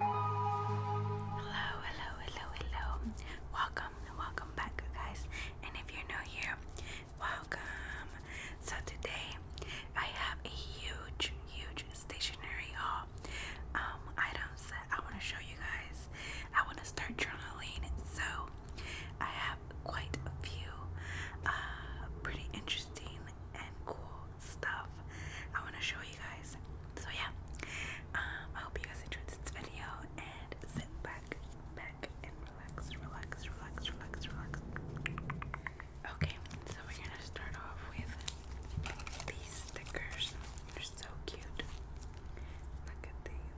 Hello, hello, hello, hello. Welcome, welcome back, guys. And if you're new here, welcome. So today I have a huge, huge stationery haul. Um, items that I want to show you guys. I want to start journaling, so I have quite a few uh, pretty interesting and cool stuff I want to show you guys. So yeah, um, I hope you guys enjoyed this video and sit back, back and relax, relax, relax, relax, relax. Okay, so we're gonna start off with these stickers. They're so cute. Look at these.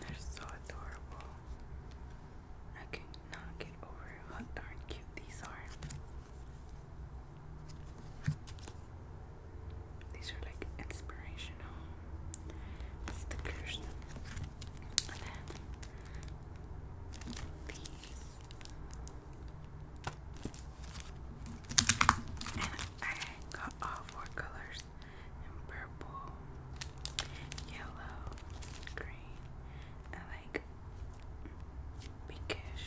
They're so adorable. I cannot get over how darn cute these are. These are like inspirational stickers. And then these and I got all four colors purple, yellow, green, and like pinkish.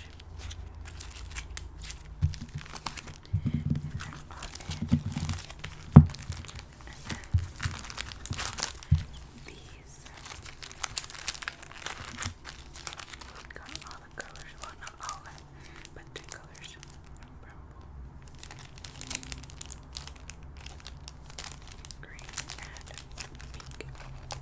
And they all in. these got all the colors. Well, not all but two colors from Brumble. Green and pink. Purple, pink, different colors.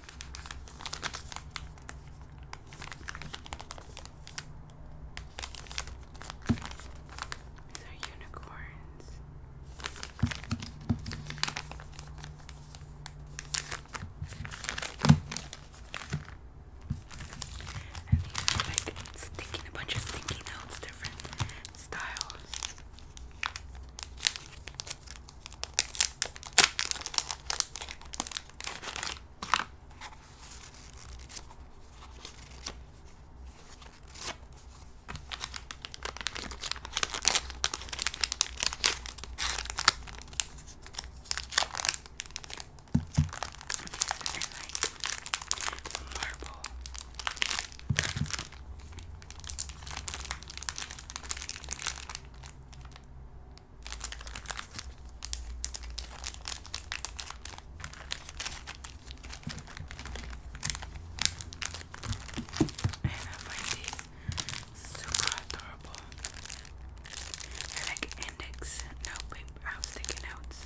These are unicorns. And these like stinking, a bunch of stinky notes, different styles like marble. And I find these super adorable. They're like index. No, wait, I was taking notes.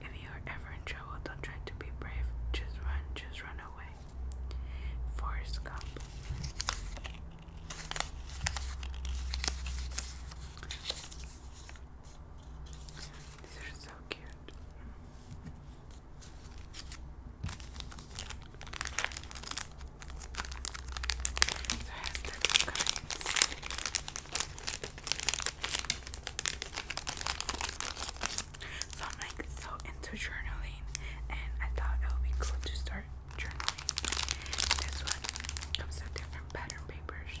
If you are ever in trouble, don't try to be brave. Just run, just run away. Forrest Gump. These are so cute. So it I'm like so into journaling and I thought it would be cool to start journaling. This one comes with different pattern papers.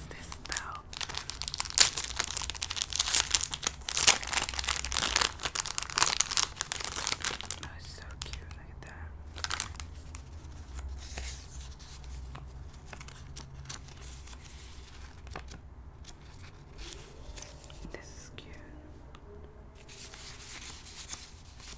this though? Oh, so cute. Look at that. This is cute.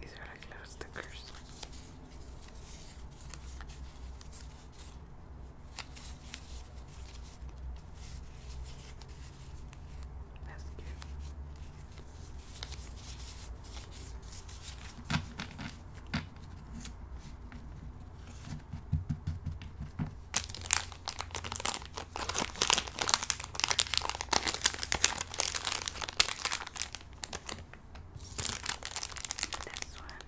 These are like little stickers. That's cute. This one.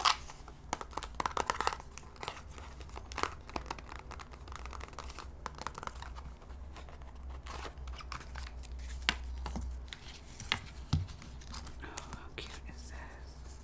Oh, how cute is this?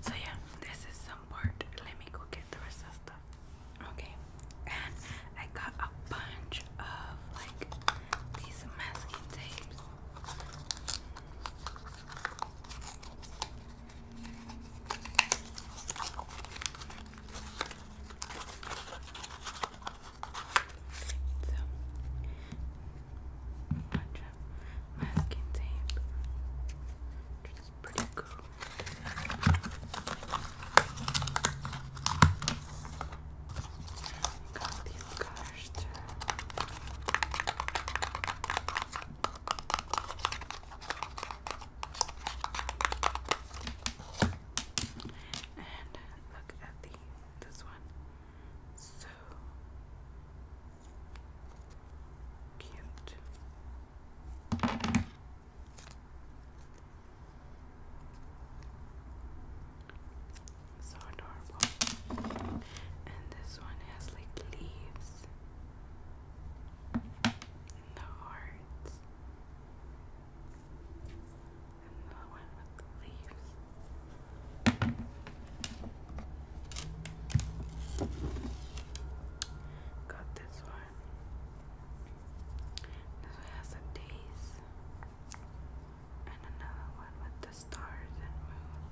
So yeah, this is some part. Let me go get the rest of stuff. Okay, and I got a bunch of like these masking tapes. So, bunch masking tape, which pretty cool. Got these colors too. And look at this one. So cute. So adorable. And this one has like leaves and the hearts and the Got this one. This one has the days and another one with the stars and moon.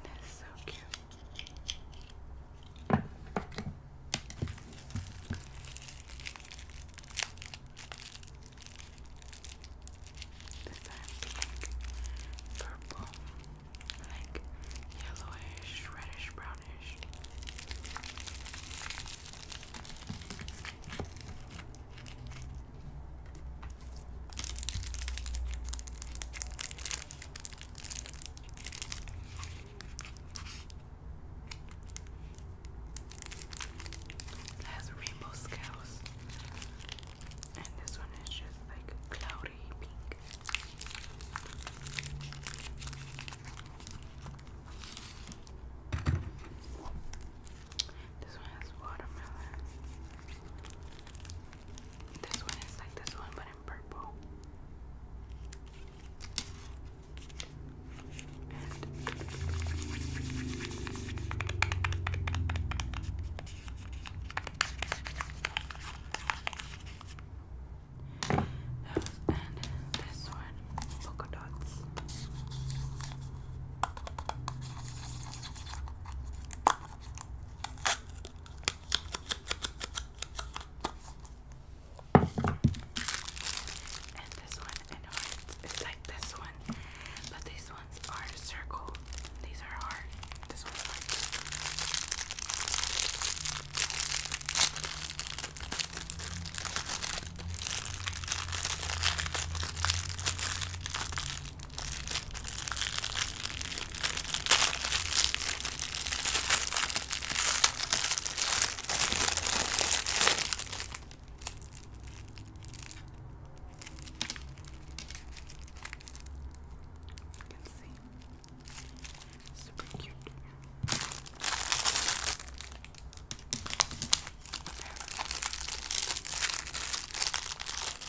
That's so cute being purple, like yellowish, reddish, brownish. Now it has rainbow scales, and this one is just like cloudy pink. This one has watermelon. This one is like this one, but in purple. And, uh, this one, polka dots. And this one, I know it's, it's like this one, but these ones are circle. These are hard. This one's you can see. Super cute. There. The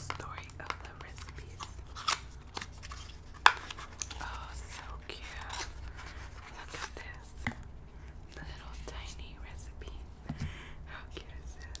story of the recipes. Oh, so cute. Look at this. little tiny recipe. How cute is this?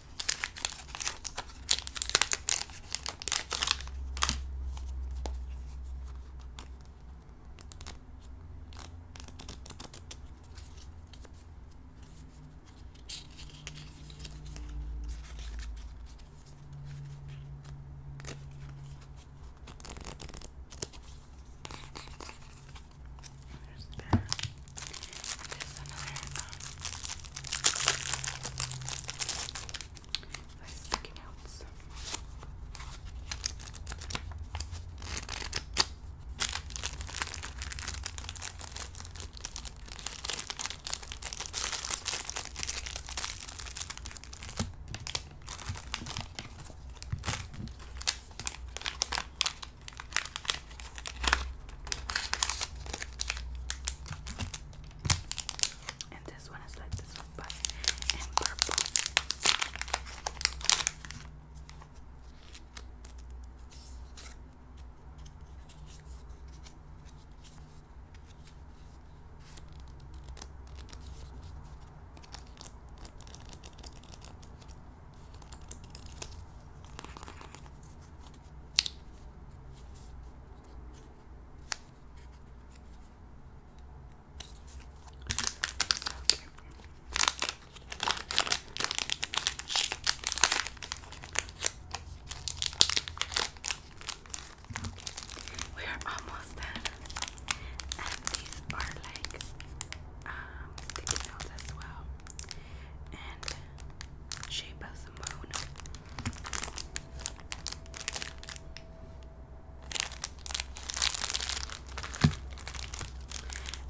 There's that. There's another um, that's sticking out. So. Okay. And this one is like this one, but in purple. Okay. We are almost done, and these are like um, sticky notes as well and Shape of the Moon.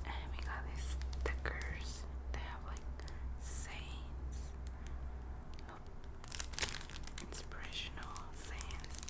And we got these stickers. They have like sayings, inspirational sayings.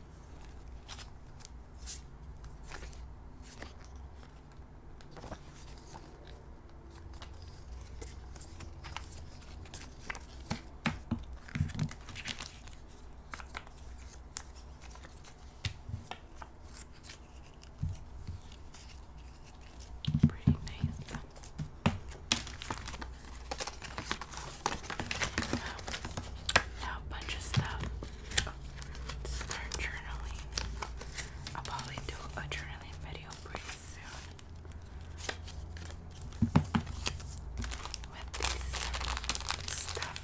Pretty nice a bunch of stuff. Start journaling. I'll probably do a journaling video pretty soon. With this stuff.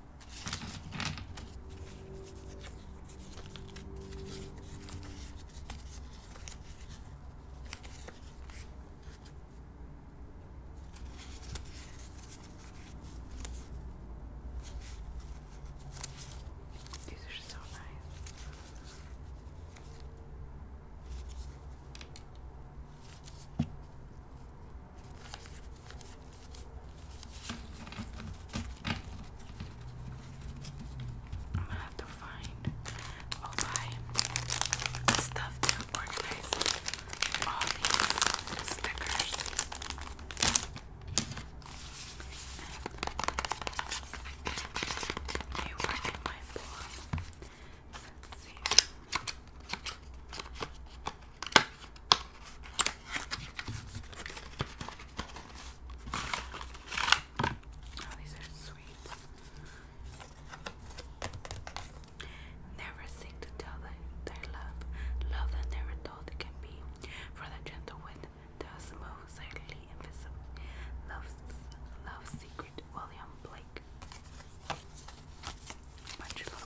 These are so nice. I'm gonna have to find all my stuff to organize all these stickers. they were in my form. See. Oh, these are sweet. Never seek to tell thy, love, love that never told can be. For the gentle wind does move silently invisible. Love's love secret, William Blake. Much love.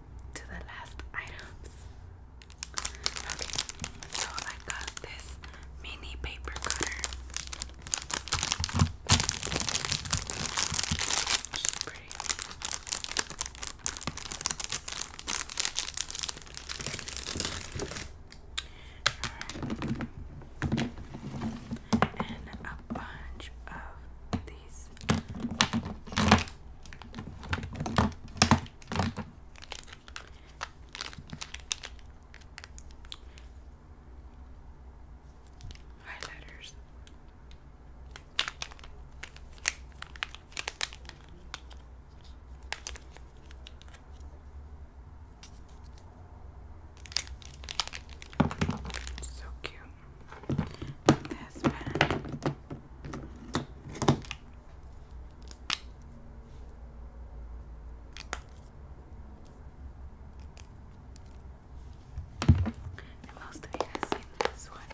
to the last items. Okay, so I got this mini paper cutter. Which pretty. And a bunch of these Highlighters. So cute this pen. And most of you have seen this one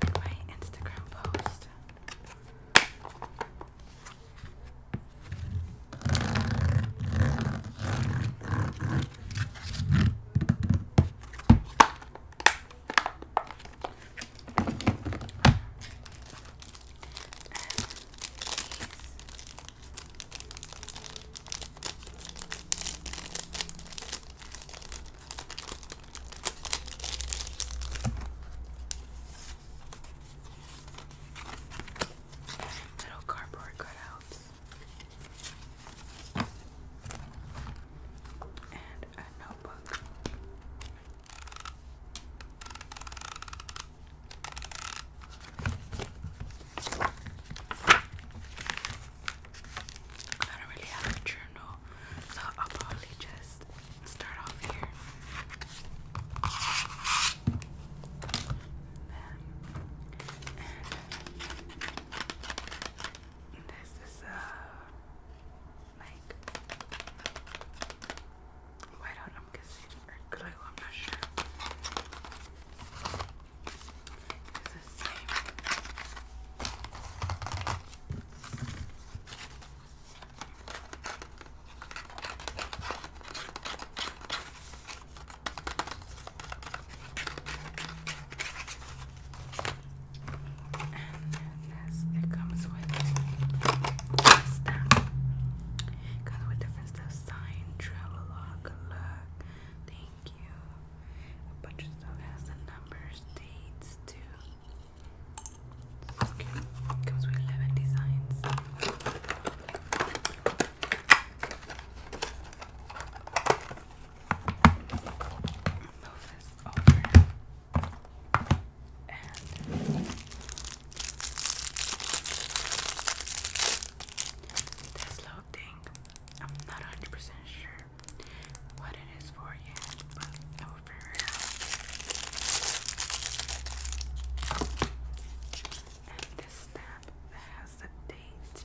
in my Instagram post. Little cardboard cutouts and a notebook. I don't really have a journal, so I'll probably just start off here. This is uh, a like white I'm guessing or glue, I'm not sure. And this, it comes with stamp. comes with different stuff. Sign, travel good luck, thank you. A bunch of stuff has the numbers, dates too. Okay. comes with 11 designs this little thing, I'm not 100% sure what it is for yet, but I will And this stamp has the date.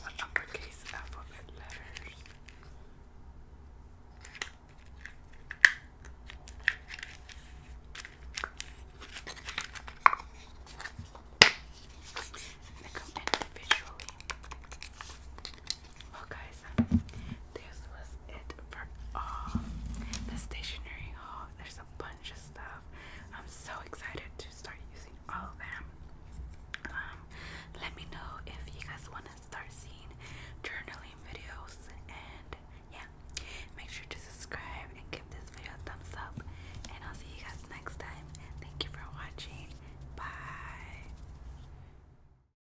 What uppercase alphabet letters? They come individually. Well, oh, guys, this was it for all uh, the stationery haul. There's a bunch of stuff. I'm so excited to start using all of them. Um, let me know if you guys want to start seeing journaling videos. And yeah, make sure to subscribe and give this video a thumbs up. And I'll see you guys next time. Thank you for watching. Bye.